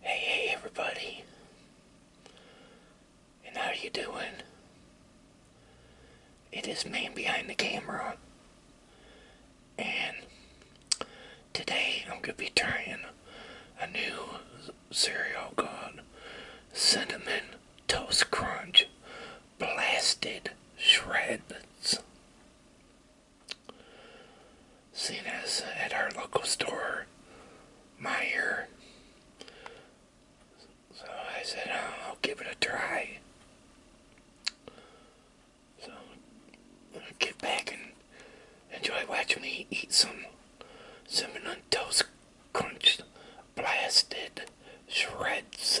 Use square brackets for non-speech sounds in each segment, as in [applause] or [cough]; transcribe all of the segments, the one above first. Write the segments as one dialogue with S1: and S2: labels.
S1: Hey, hey, everybody. And how you doing? It is man behind the camera. And today I'm going to be trying a new cereal called Cinnamon Toast Crunch Blasted Shreds seen us at our local store, Meyer. So I said, oh, I'll give it a try. So get back and enjoy watching me eat some cinnamon toast crunched, blasted shreds.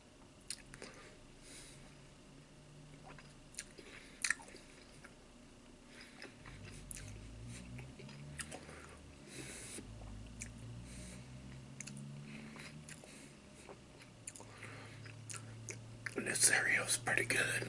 S1: And this cereal's pretty good.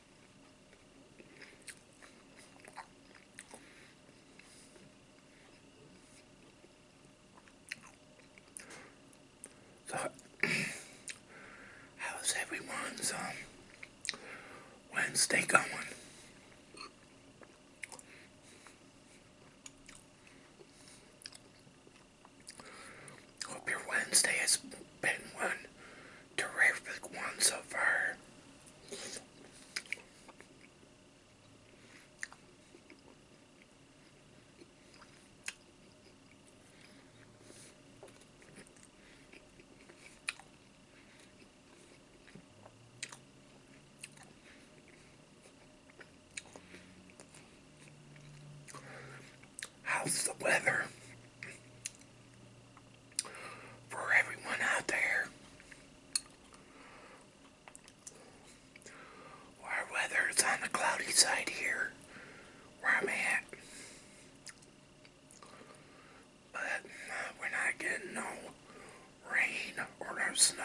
S1: So, how's everyone's um, Wednesday going? Hope your Wednesday has been one terrific one so far. How's the weather for everyone out there? our weather is on the cloudy side here where I'm at. But we're not getting no rain or no snow.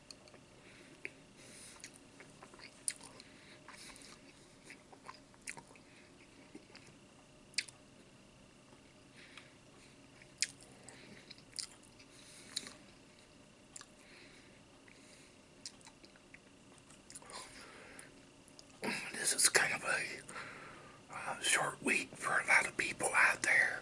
S1: This is kind of a short week for a lot of people out there.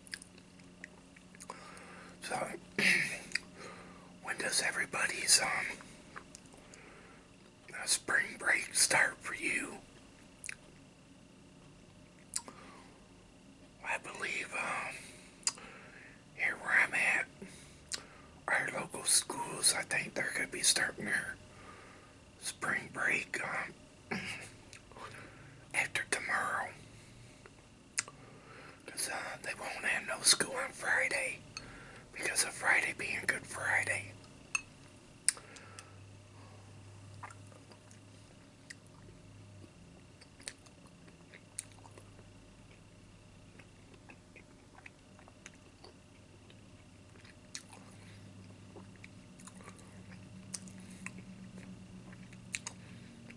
S1: So, [clears throat] when does everybody's um, uh, spring break start for you? I believe um, here where I'm at, our local schools, I think they're going to be starting their spring break um, [clears throat] after tomorrow. Because uh, they won't have no school on Friday. Because of Friday being Good Friday.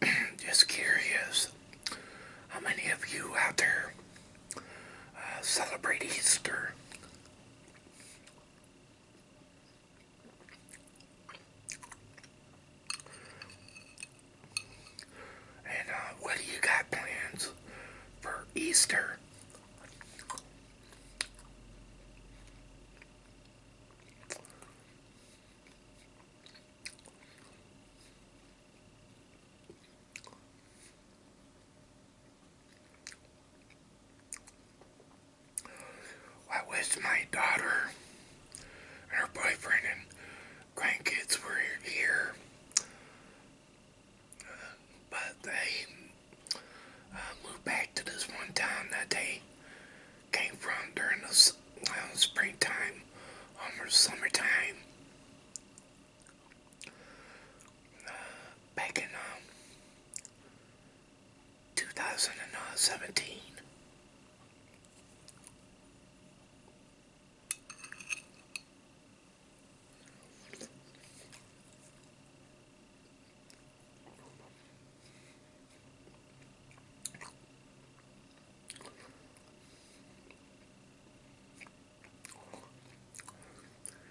S1: [clears throat] Just curious, how many of you out there uh, celebrate Easter? And uh, what do you got plans for Easter? I wish my daughter and her boyfriend and grandkids were here, but they uh, moved back to this one town that they came from during the uh, springtime, almost um, summertime. Uh, back in um, 2017.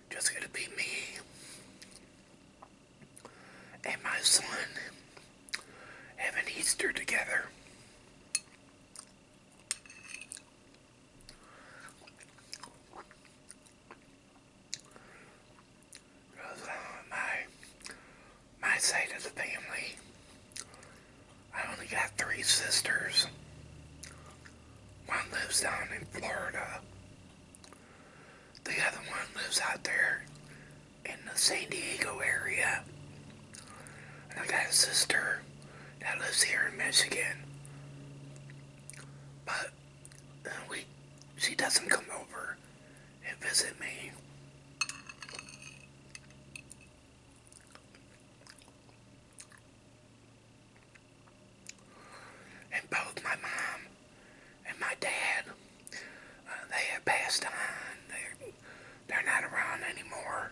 S1: Just gonna be me and my son having Easter together my my side of the family, I only got three sisters. One lives down in Florida. The other one lives out there in the San Diego area. And I got a sister that lives here in Michigan. But we she doesn't come over and visit me. And both my mom and my dad, uh, they have passed on. they they're not around anymore.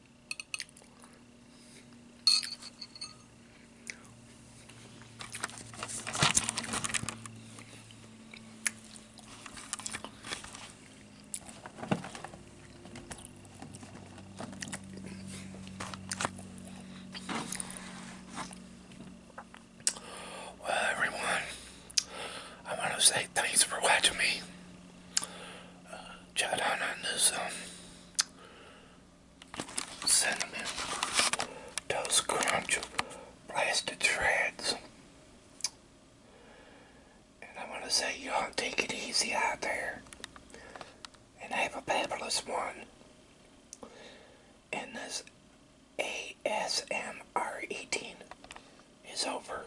S1: Well, everyone, I want to say thanks for watching me. chat on this cinnamon toast crunch blasted shreds. And i want to say, y'all take it easy out there. And have a fabulous one. And this ASMR eating is over.